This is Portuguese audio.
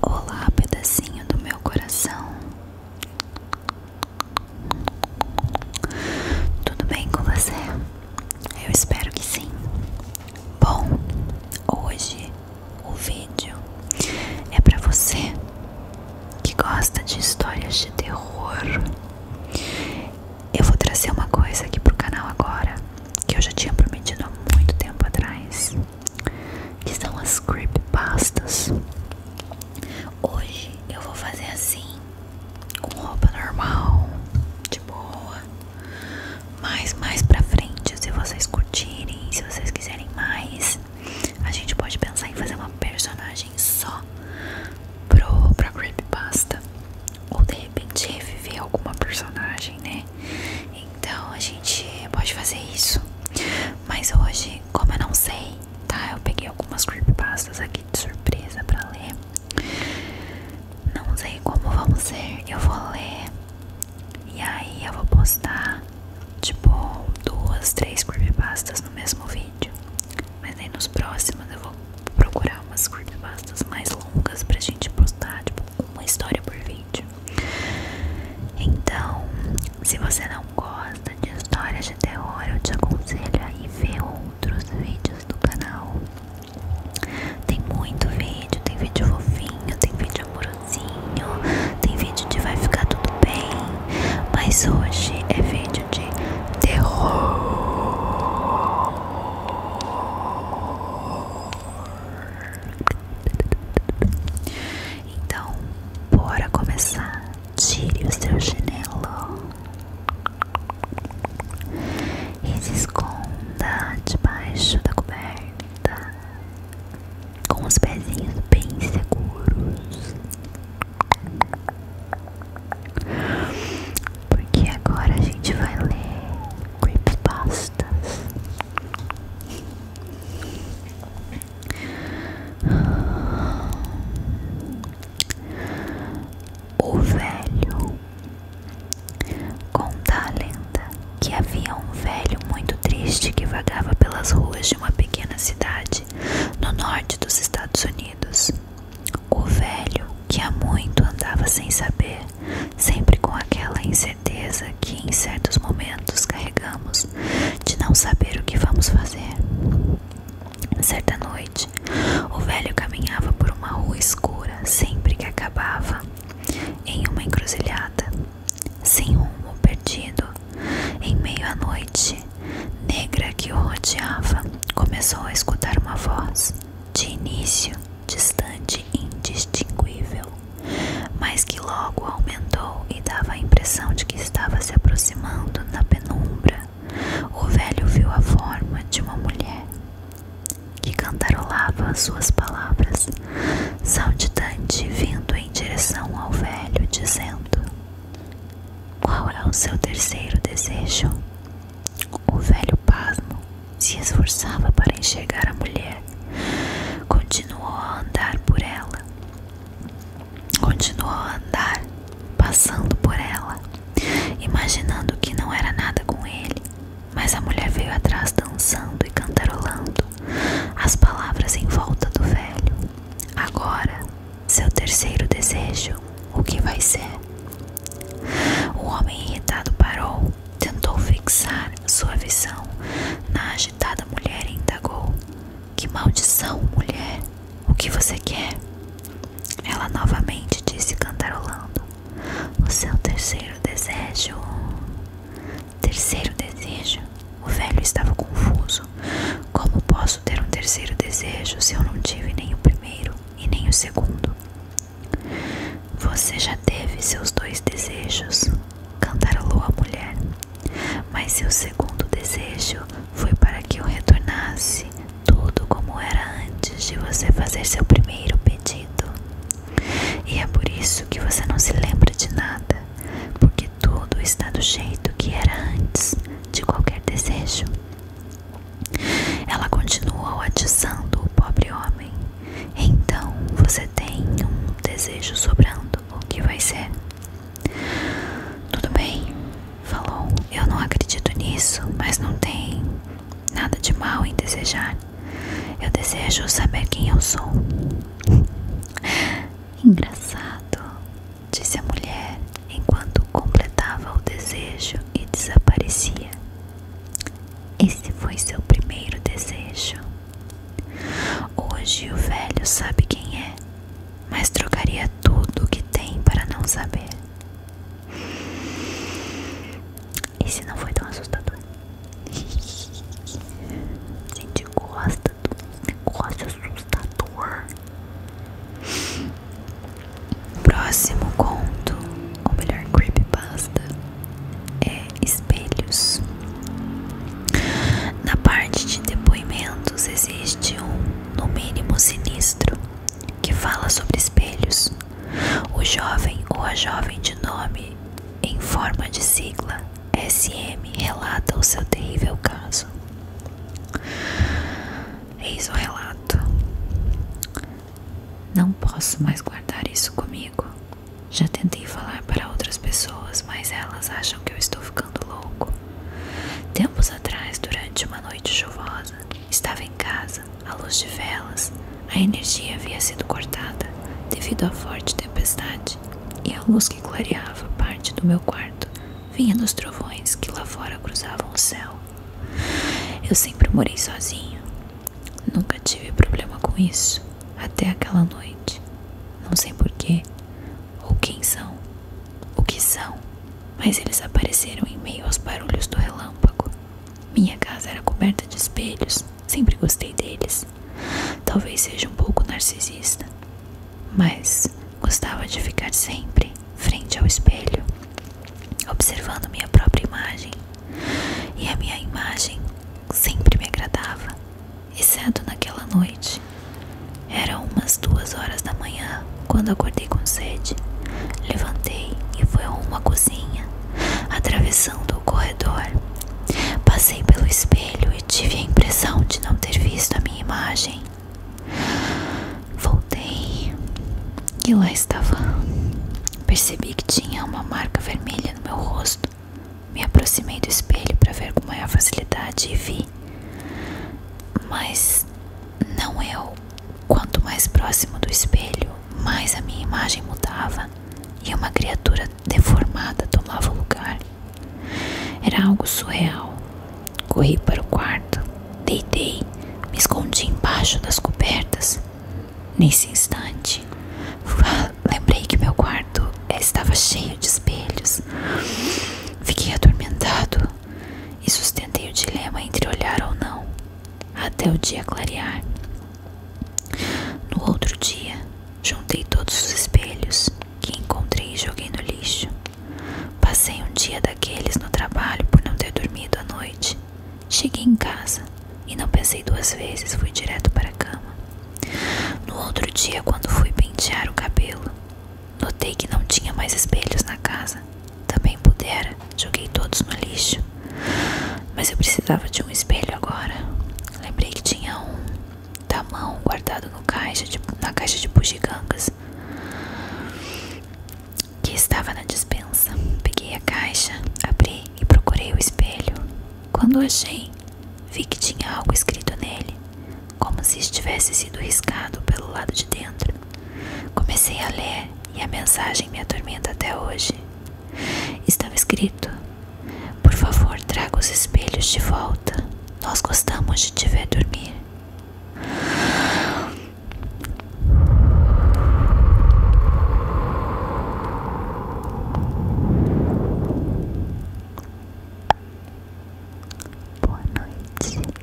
Olá, pedacinho do meu coração. Tudo bem com você? Eu espero que sim. Bom, hoje o vídeo é para você que gosta de histórias de terror. Eu vou trazer uma coisa aqui pro canal agora que eu já tinha prometido há muito tempo atrás que são as creepypastas. Hoje eu vou fazer assim, com roupa normal, de boa. Mas mais pra frente, se vocês curtirem, se vocês quiserem mais, a gente pode pensar em fazer uma personagem só pro, pra creepypasta. Ou de repente reviver alguma personagem, né? Então a gente pode fazer isso. Mas hoje, como eu não sei, tá? Eu peguei algumas creepypastas aqui de surpresa pra ler. Não sei como vão ser. Eu vou ler e aí eu vou postar tipo duas, três creepypastas no mesmo vídeo. Mas aí nos próximos eu vou procurar umas creepypastas mais longas pra gente postar, tipo uma história por vídeo. Então, se você não gosta de histórias de terror, eu te aconselho a ir ver outros vídeos do canal. Tem muito vídeo, tem vídeo fofinho, tem vídeo amorosinho, tem vídeo de vai ficar tudo bem, mas hoje é vídeo de terror. Então, bora começar. Tire o seu chinelo e se esconda debaixo da coberta com os pezinhos bem seguros. Porque agora a gente vai ler creepypastas. O velho conta a lenda que havia um velho muito triste que vagava pelas ruas de uma pequena cidade no norte dos Estados Unidos. O velho, que há muito andava sem saber, sempre com aquela incerteza que em certos momentos carregamos, de não saber o que vamos fazer. Certa noite, o velho caminhava por uma rua escura, sempre que acabava em uma encruzilhada, sem rumo perdido. Em meio à noite, negra que o rodeava, começou a escutar uma voz, de início distante e indistinguível, mas que logo aumentou e dava a impressão de que estava se aproximando na penumbra. O velho viu a forma de uma mulher que cantarolava suas palavras, saltitante vindo em direção ao velho, dizendo: qual é o seu terceiro desejo? O velho pasmo se esforçava para enxergar a mulher. Continuou a andar por ela. Continuou a andar, passando por ela, imaginando que não era nada com ele. Mas a mulher veio atrás dançando e cantarolando as palavras em volta do velho. Agora seu terceiro desejo, o que vai ser? O homem irritado parou, tentou fixar sua visão na agitada mulher e indagou: Que maldição, mulher! O que você quer? Ela novamente disse, cantarolando: O seu terceiro desejo. Terceiro desejo. O velho estava confuso. Como posso ter um terceiro desejo se eu não tive nem o primeiro e nem o segundo? Você já teve seus dois desejos, cantarolou a mulher. Mas seu segundo desejo foi para que eu retornasse tudo como era antes de você fazer seu primeiro pedido. E é por isso que você não se lembra de nada, porque tudo está do jeito que era antes de qualquer desejo. Ela continuou atiçando o pobre homem. Então você tem um desejo sobrando. O que vai ser? Tudo bem, falou. Eu não acredito nisso, mas não tem nada de mal em desejar. Eu desejo saber quem eu sou. Engraçado, disse a mulher enquanto completava o desejo e desaparecia. Esse foi seu primeiro desejo. Hoje o velho sabe quem é, mas trocaria tudo o que tem para não saber. Esse não foi tão assustador. Senti o gosto negócio assustador. Próximo conto, ou melhor, creepypasta, é espelhos. Na parte de depoimentos existe um, no mínimo, sinistro, que fala sobre espelhos. O jovem ou a jovem de nome em forma de sigla SM relata o seu terrível caso. Eis o relato. Não posso mais guardar isso comigo. Já tentei falar para outras pessoas, mas elas acham que eu estou ficando louco. Tempos atrás, durante uma noite chuvosa, estava em casa, à luz de velas, a energia havia sido cortada devido à forte tempestade, e a luz que clareava parte do meu quarto vinha dos trovões que lá fora cruzavam o céu. Eu sempre morei sozinho. Nunca tive problema com isso até aquela noite. Não sei porquê, ou quem são, o que são, mas eles apareceram em meio aos barulhos do relâmpago. Minha casa era coberta de espelhos, sempre gostei deles. Talvez seja um pouco narcisista, mas gostava de ficar sempre frente ao espelho, observando minha própria imagem. E a minha imagem sempre me agradava, exceto naquela noite. Eram umas duas horas da manhã quando acordei com sede. Levantei e fui rumo uma cozinha, atravessando do corredor. Passei pelo espelho e tive a impressão de não ter visto a minha imagem. Voltei e lá estava. Percebi que tinha uma marca vermelha no meu rosto. Me aproximei do espelho para ver com maior facilidade e vi. Mas não eu, Quanto mais próximo do espelho, mais a minha imagem mudava e uma criatura deformada tomava o lugar. Era algo surreal. Corri para o quarto, deitei, me escondi embaixo das cobertas. Nesse instante, lembrei que meu quarto estava cheio de espelhos. Fiquei atormentado e sustentei o dilema entre olhar ou não até o dia clarear. No outro dia, juntei todos os espelhos que encontrei e joguei no lixo. Passei um dia daqueles no trabalho por não ter dormido à noite. Cheguei em casa e não pensei duas vezes, fui direto para a cama. No outro dia, quando fui pentear o cabelo, notei que não tinha mais espelhos na casa. Também pudera, joguei todos no lixo. Mas eu precisava de um espelho agora. Lembrei que tinha um tamão guardado no caixa de, na caixa de bugigangas que estava na dispensa. Peguei a caixa, abri e procurei o espelho. Quando achei, vi que tinha algo escrito nele, como se estivesse sido riscado pelo lado de dentro. Comecei a ler e a mensagem me atormenta até hoje. Estava escrito: Por favor, traga os espelhos de volta. Nós gostamos de te ver dormir. Boa noite,